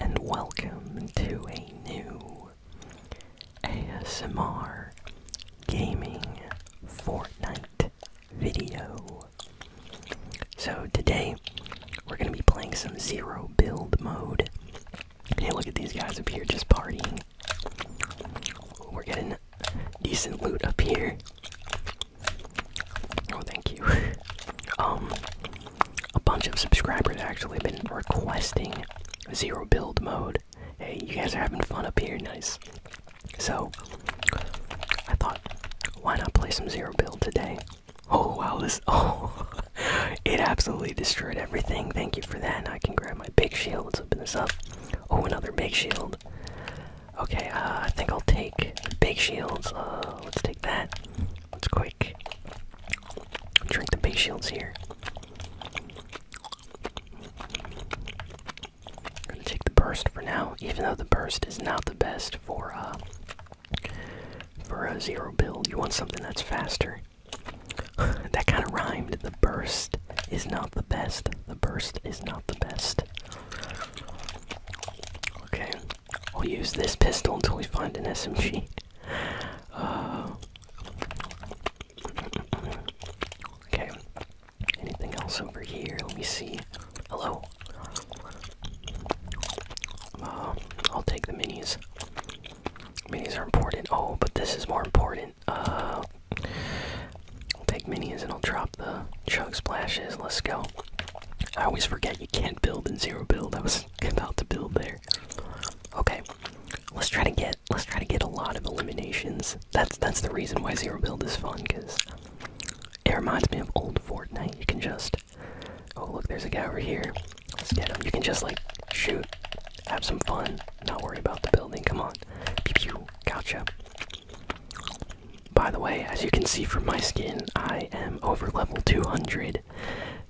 and welcome to a new ASMR gaming Fortnite video. So, today we're going to be playing some zero build mode. Hey, look at these guys up here just partying. We're getting decent loot up here. Oh, thank you. um, a bunch of subscribers actually been requesting zero build mode. Hey, you guys are having fun up here, nice. So, I thought, why not play some zero build today? Oh wow, this oh, it absolutely destroyed everything. Thank you for that. Now I can grab my big shield. Let's open this up. Oh, another big shield. Okay, uh, I think I'll take big shields. Uh, let's take that. Let's quick drink the base shields here. gonna take the burst for now, even though the burst is not the best for uh for a zero build. You want something that's faster. that kind of rhymed. The burst is not the best. The burst is not the best. Okay, we will use this pistol until we find an SMG. Uh, okay. Anything else over here? Let me see. Hello. Uh, I'll take the minis. Minis are important. Oh, but this is more important. Uh, I'll take minis and I'll drop the chug splashes. Let's go. I always forget you can't build in zero build. I was about to build there. Okay, let's try to get let's try to get a lot of eliminations. That's that's the reason why zero build is fun because it reminds me of old Fortnite. You can just oh look, there's a guy over here. Let's get him. You can just like shoot, have some fun, not worry about the building. Come on, pew pew, gotcha. By the way, as you can see from my skin, I am over level 200.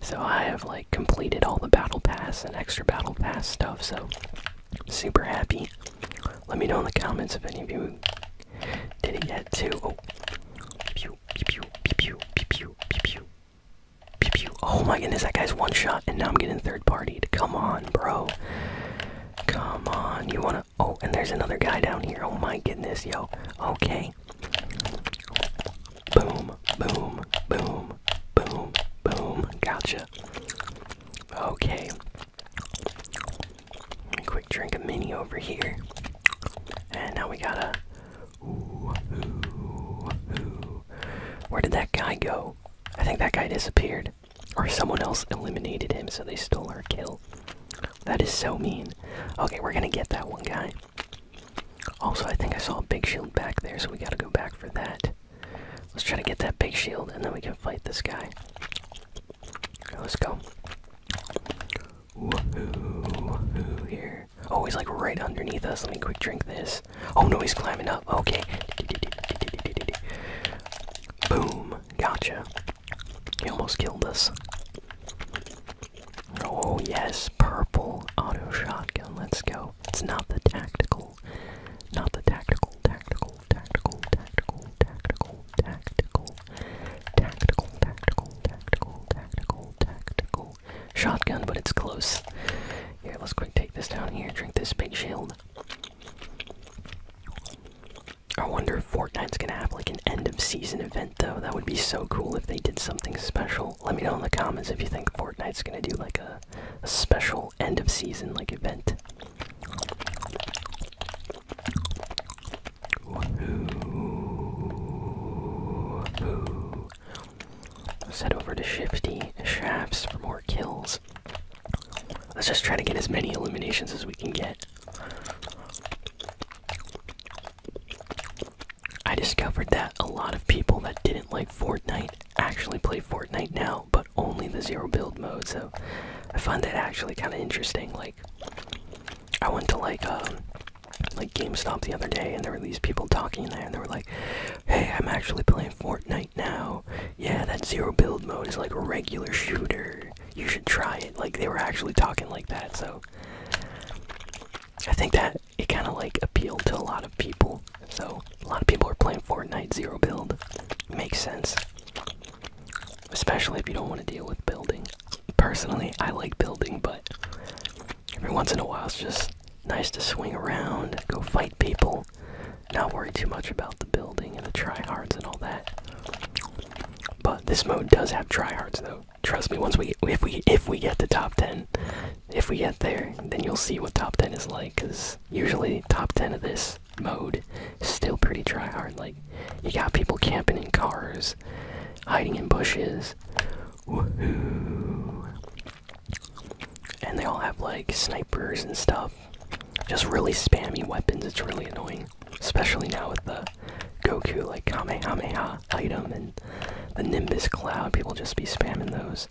So I have like completed all the battle pass and extra battle pass stuff, so super happy. Let me know in the comments if any of you did it yet too. Oh pew pew pew pew pew pew pew pew pew Oh my goodness that guy's one shot and now I'm getting third partied. Come on bro. Come on, you wanna Oh, and there's another guy down here. Oh my goodness, yo. Okay. Boom, boom, boom, boom, boom. Gotcha. Okay. Quick drink of mini over here. And now we gotta. Where did that guy go? I think that guy disappeared. Or someone else eliminated him, so they stole our kill. That is so mean. Okay, we're gonna get that one guy. Also, I think I saw a big shield back there, so we gotta go back for that. Let's try to get that big shield, and then we can fight this guy. Right, let's go. here. Oh, he's like right underneath us. Let me quick drink this. Oh no, he's climbing up. Okay. Boom. Gotcha. He almost killed us. Oh, yes, purple auto shotgun. Let's go. It's not the tactical. Not the tactical, tactical, tactical, tactical, tactical, tactical, tactical, tactical, tactical, tactical, tactical. Shotgun, but it's close. Here, let's quick take this down here. Drink this big shield. I wonder if Fortnite's gonna have like an end of season event though. That would be so cool if they did something special. Let me know in the comments if you think Fortnite's gonna do like a, special end of season like event. Set over to Shifty Shafts for more kills. Let's just try to get as many illuminations as we can get. I discovered that a lot of people that didn't like Fortnite actually play Fortnite now, but only the zero build mode. So I find that actually kind of interesting. Like, I went to like um, like GameStop the other day, and there were these people talking there, and they were like, "Hey, I'm actually playing Fortnite now. Yeah, that zero build mode is like a regular shooter. You should try it." Like, they were actually talking like that. So I think that it kind of like appealed to a lot of people. So a lot of people are playing Fortnite zero build. Makes sense, especially if you don't want to deal with building. Personally, I like building, but every once in a while, it's just nice to swing around, go fight people, not worry too much about the building and the tryhards and all that. But this mode does have tryhards though, Trust me, once we if we if we get to top ten, if we get there, then you'll see what top ten is like. Cause usually top ten of this mode is still pretty try hard. Like you got people camping in cars, hiding in bushes, and they all have like snipers and stuff. Just really spammy weapons. It's really annoying, especially now with the Goku like Kamehameha item and the Nimbus Cloud. People just be spamming those.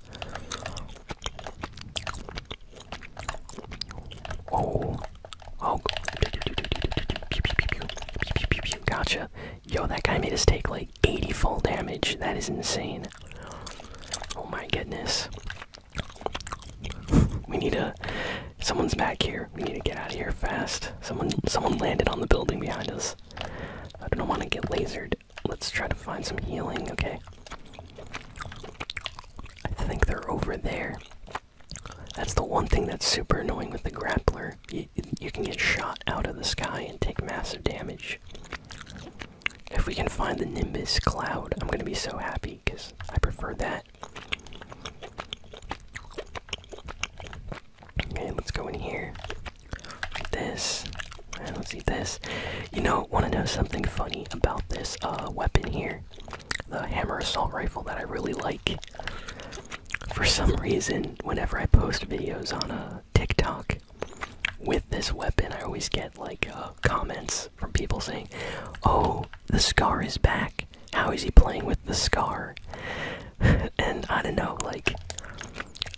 Oh, oh, gotcha. Yo, that guy made us take like 80 full damage. That is insane. Oh my goodness. We need a. Someone's back here. We need to get out of here fast. Someone, someone landed on the building behind us. I don't want to get lasered. Let's try to find some healing, okay? I think they're over there. That's the one thing that's super annoying with the grappler. You, can get shot out of the sky and take massive damage. If we can find the Nimbus Cloud, I'm gonna be so happy because I prefer that. Okay, let's go in here. This. And let's see this. You know, want to know something funny about this uh, weapon here? The hammer assault rifle that I really like. For some reason, whenever I post videos on a uh, TikTok with this weapon, I always get like uh, comments from people saying, "Oh, the scar is back. How is he playing with?" the scar. and I don't know, like,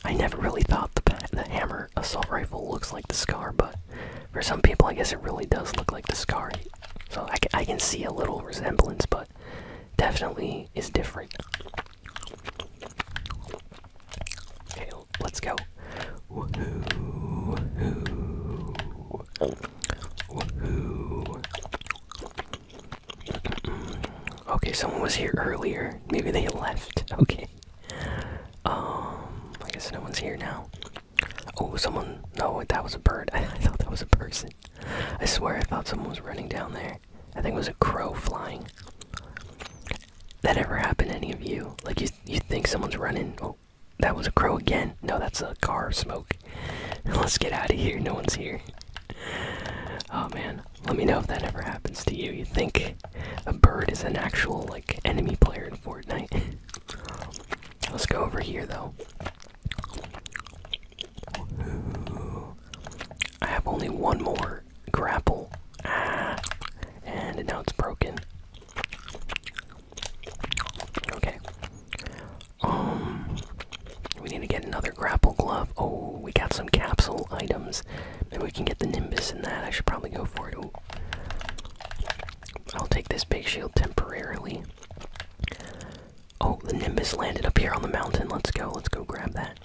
I never really thought the, the hammer assault rifle looks like the scar, but for some people, I guess it really does look like the scar. So I, I can see a little resemblance, but definitely is different. let's go okay, someone was here earlier. Maybe they left. Okay. Um, I guess no one's here now. Oh, someone. No, that was a bird. I, thought that was a person. I swear I thought someone was running down there. I think it was a crow flying. That ever happen? to any of you? Like, you, you think someone's running. Oh, that was a crow again. No, that's a car smoke. Let's get out of here. No one's here oh man, let me know if that ever happens to you. You think a bird is an actual like enemy player in Fortnite? Let's go over here though. I have only one more grapple. Ah. and now it's broken. Okay. Um, we need to get another grapple glove. Oh, we got some capsule items. Maybe we can get the Nimbus in that. I should probably go for it. Ooh. I'll take this big shield temporarily. Oh, the Nimbus landed up here on the mountain. Let's go. Let's go grab that.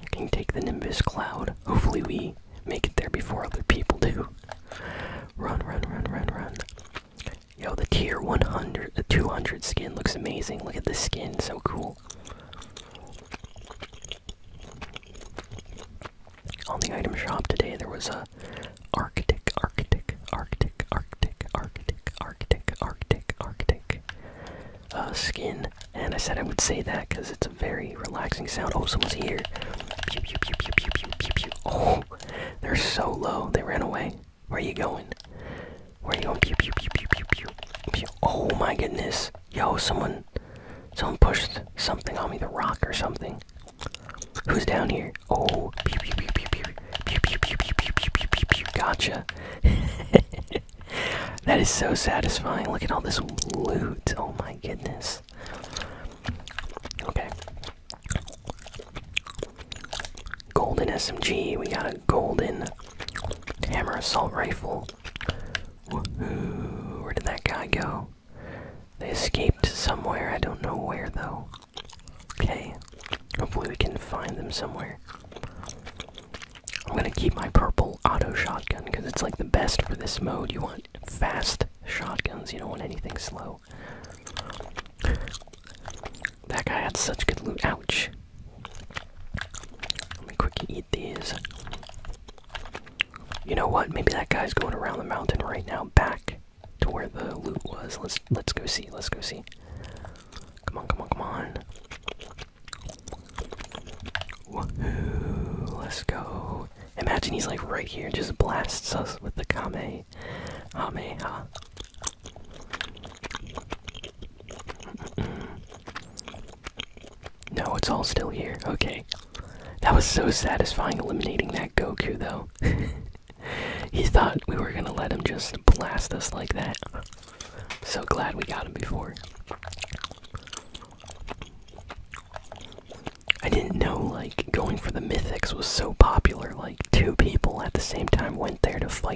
We can take the Nimbus cloud. Hopefully, we make it there before other people do. Run, run, run, run, run. Yo, the tier 100, the 200 skin looks amazing. Look at the skin, so cool. On the item shop today, there was a Arctic, Arctic, Arctic, Arctic, Arctic, Arctic, Arctic, Arctic uh, skin, and I said I would say that because it's a very relaxing sound. Oh, someone's here! pew pew pew pew pew pew pew. Oh, they're so low. They ran away. Where are you going? Where are you going? Pew pew pew pew pew pew. pew. Oh my goodness! Yo, someone, someone pushed something on me, the rock or something. Who's down here? Oh, pew pew pew pew pew pew pew pew pew pew pew pew. pew, pew. Gotcha. that is so satisfying. Look at all this loot. Oh my goodness. Okay. Golden SMG. We got a golden hammer assault rifle. Where did that guy go? They escaped somewhere. I don't know where though. Okay. Hopefully we can find them somewhere. I'm gonna keep my purple auto shotgun because it's like the best for this mode. You want fast shotguns. You don't want anything slow. That guy had such good loot. Ouch. Let me quickly eat these. You know what? Maybe that guy's going around the mountain right now back to where the loot was. Let's let's go see. Let's go see. Come on, come on, come on. Let's go. Imagine he's like right here, just blasts us with the kamehameha no, it's all still here. Okay. That was so satisfying eliminating that Goku, though. he thought we were gonna let him just blast us like that. So glad we got him before. I didn't know, like, going for the mythics was so popular. Like, two people at the same time went there to fight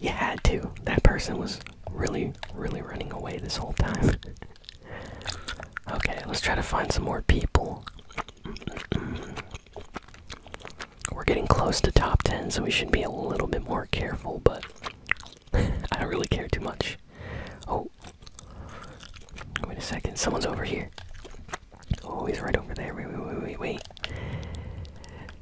You had to. That person was really, really running away this whole time. okay, let's try to find some more people. We're getting close to top 10, so we should be a little bit more careful, but I don't really care too much. Oh. Wait a second, someone's over here. Oh, he's right over there. Wait, wait, wait, wait, wait.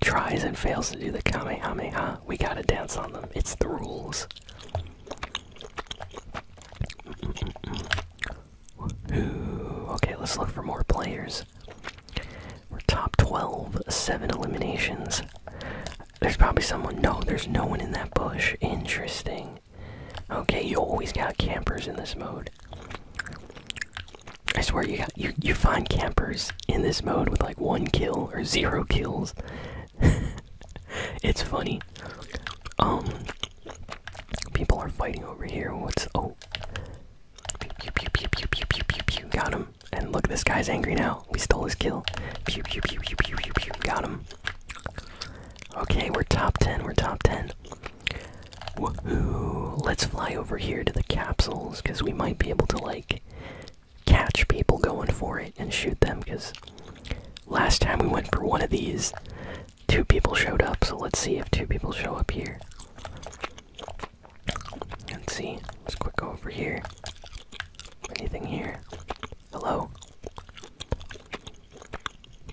tries and fails to do the Kamehameha, we gotta dance on them. It's the rules. okay, let's look for more players. We're top 12, 7 eliminations. There's probably someone. No, there's no one in that bush. Interesting. Okay, you always got campers in this mode. I swear you you you find campers in this mode with like one kill or zero kills balls. it's funny. Um, people are fighting over here. What's oh? Pew pew pew pew pew pew pew pew. Got him. And look, this guy's angry now. We stole his kill. Pew pew pew pew pew pew pew. Got him. Okay, we're top ten. We're top ten. Woohoo! Let's fly over here to the capsules because we might be able to like catch people going for it and shoot them because last time we went for one of these, two people showed up. So let's see if two people show up here. Let's see. Let's quick go over here. Anything here? Hello?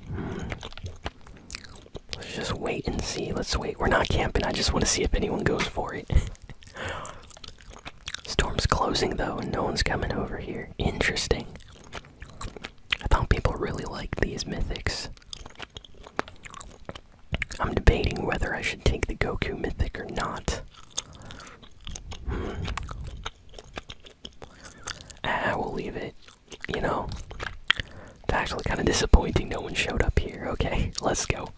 Hmm. Let's just wait and see. Let's wait. We're not camping. I just want to see if anyone goes for it. Storm's closing though, and no one's coming over here. Interesting. I found people really like these mythics. I'm debating whether I should take the Goku mythic or not. I hmm. ah, will leave it. You know, it's actually kind of disappointing no one showed up here. Okay, let's go.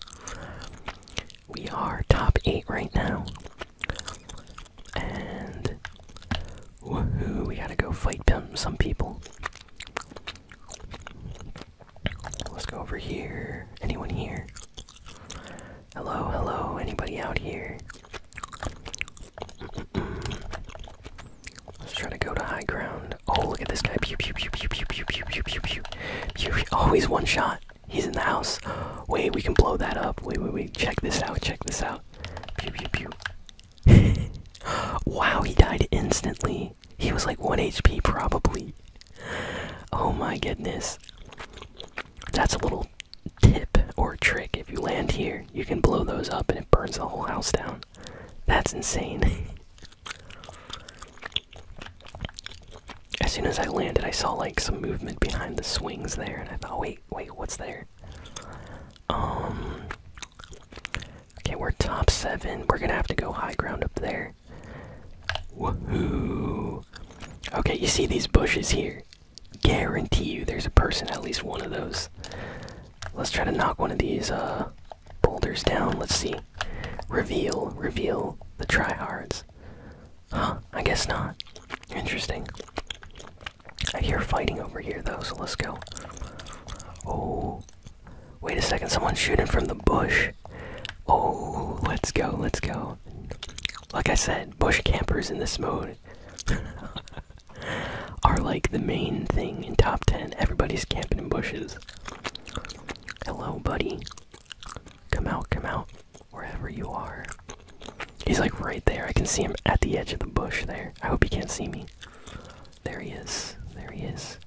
We are top 8 right now. And. Woohoo, we gotta go fight them, some people. Let's go over here. Anyone here? Hello, hello, anybody out here? Mm -mm. Let's try to go to high ground. Oh, look at this guy. Pew, pew, pew, pew, pew, pew, pew, pew, pew, pew. Pew, always one shot. He's in the house. Wait, we can blow that up. Wait, wait, wait. Check this out. Check this out. Pew, pew, pew. wow, he died instantly. He was like 1 HP, probably. Oh my goodness. That's a little tip or trick. If you land here, you can blow those up and it burns the whole house down. That's insane. As soon as I landed, I saw like some movement behind the swings there, and I thought, wait, wait, what's there? Um, okay, we're top seven. We're gonna have to go high ground up there. Woohoo! Okay, you see these bushes here? Guarantee you there's a person, at least one of those. Let's try to knock one of these uh, boulders down. Let's see. Reveal, reveal the tryhards. Huh, I guess not. Interesting. I hear fighting over here though, so let's go. Oh. Wait a second, someone's shooting from the bush. Oh, let's go, let's go. Like I said, bush campers in this mode are like the main thing in top 10. Everybody's camping in bushes. Hello, buddy. Come out, come out, wherever you are. He's like right there. I can see him at the edge of the bush there. I hope you can't see me. There he is. There he is.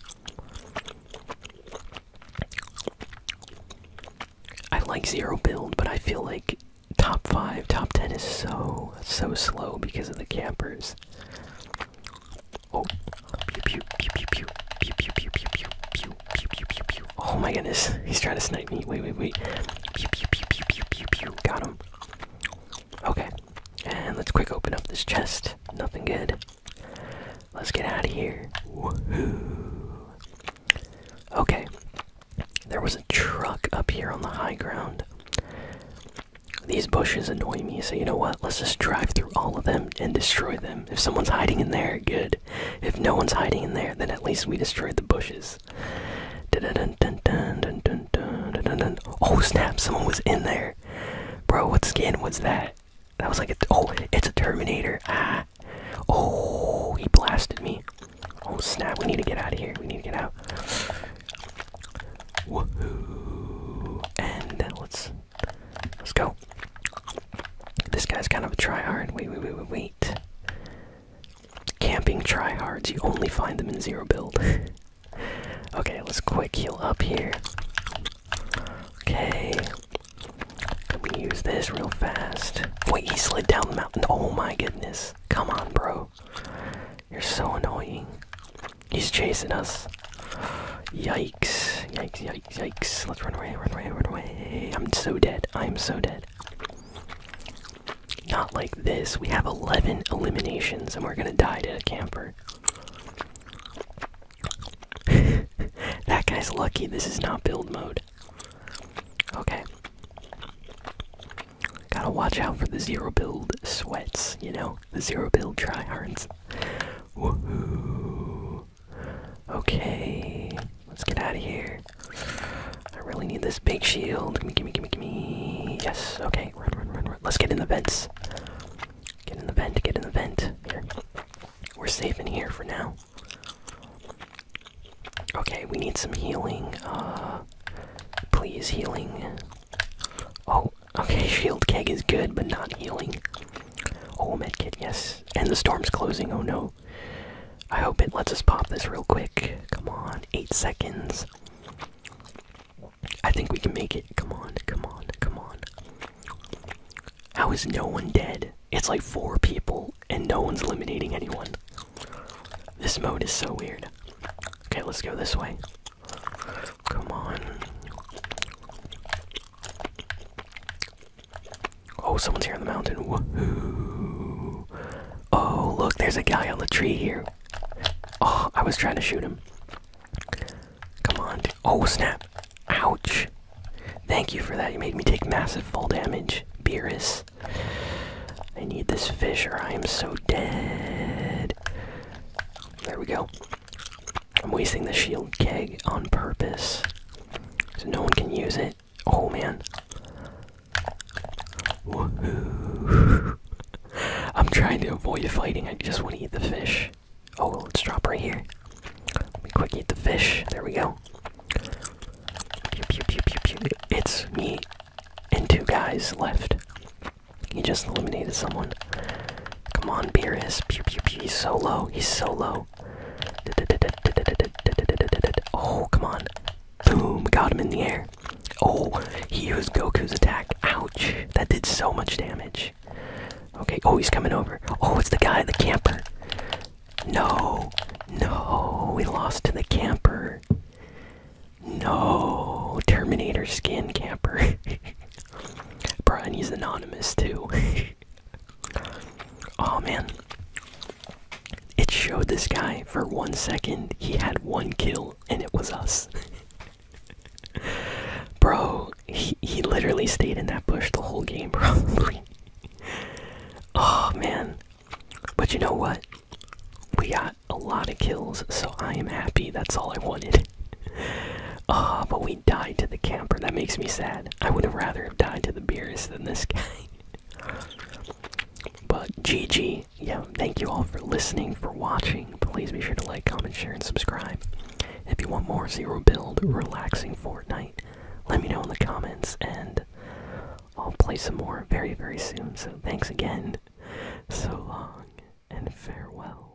I like zero build, but I feel like top 5, top 10 is so, so slow because of the campers. Oh, Oh my goodness, he's trying to snipe me. Wait, wait, wait. Pew, pew, Got him. Okay, and let's quick open up this chest. Nothing good. Let's get out of here. Okay, there was a truck up here on the high ground. These bushes annoy me, so you know what? Let's just drive through all of them and destroy them. If someone's hiding in there, good. If no one's hiding in there, then at least we destroyed the bushes. Oh snap! Someone was in there, bro. What skin was that? That was like oh, it's a Terminator. Ah, oh, he blasted me. Oh snap! We need to get out of here. We need to get out. And let's Let's go. This guy's kind of a tryhard. Wait, wait, wait, wait, wait. Camping tryhards. You only find them in zero build. okay, let's quick heal up here. Okay. let me use this real fast? Wait, he slid down the mountain. Oh my goodness. Come on, bro. You're so annoying. He's chasing us. Yikes! Yikes. Yikes, Yikes, Let's run away, run away, run away. I'm so dead. I'm so dead. Not like this. We have 11 eliminations and we're gonna die to a camper. that guy's lucky. This is not build mode. Okay. Gotta watch out for the zero build sweats, you know? The zero build tryhards. Woohoo. Okay, let's get out of here. I really need this big shield. Gimme, gimme, gimme, gimme. Yes, okay, run, run, run, run. Let's get in the vents. Get in the vent, get in the vent. Here. We're safe in here for now. Okay, we need some healing. Uh, please, healing. Oh, okay, shield keg is good, but not healing. Oh, medkit, yes. And the storm's closing. Oh no. I hope it lets us pop this real quick. Come on. Eight seconds. I think we can make it. Come on. Come on. Come on. How is no one dead? It's like four people and no one's eliminating anyone. This mode is so weird. Okay, let's go this way. Come on. Oh, someone's here on the mountain. Woohoo! Oh, look, there's a guy on the tree here. Oh, I was trying to shoot him. Come on. Oh, snap. Ouch. Thank you for that. You made me take massive fall damage. Beerus. I need this fish I am so dead. There we go. I'm wasting the shield keg on purpose. So no one can use it. Oh man. Woohoo. I'm trying to avoid fighting. I just want to eat the fish. Oh, well, let's drop right here. Let me quick eat the fish. There we go. Pew, pew, pew, pew, pew. It's me and two guys left. He just eliminated someone. Come on, Beerus. Pew, pew, pew. He's so low. He's so low. Oh, come on. Boom, got him in the air. Oh, he used Goku's attack. Ouch, that did so much damage. Okay, oh, he's coming over. Oh, it's the guy, the camper. No, no, we lost to the camper. No, Terminator skin camper. Brian, he's anonymous too. oh man. It showed this guy for one second, he had one kill, and it was us. bro, he, he literally stayed in that bush the whole game, probably. oh man. But you know what? We got a lot of kills, so I am happy. That's all I wanted. Ah, but we died to the camper. That makes me sad. I would have rather have died to the Beerus than this guy. but GG. Yeah, thank you all for listening, for watching. Please be sure to like, comment, share, and subscribe. If you want more Zero Build relaxing Fortnite, let me know in the comments and I'll play some more very, very soon. So thanks again. So long and farewell.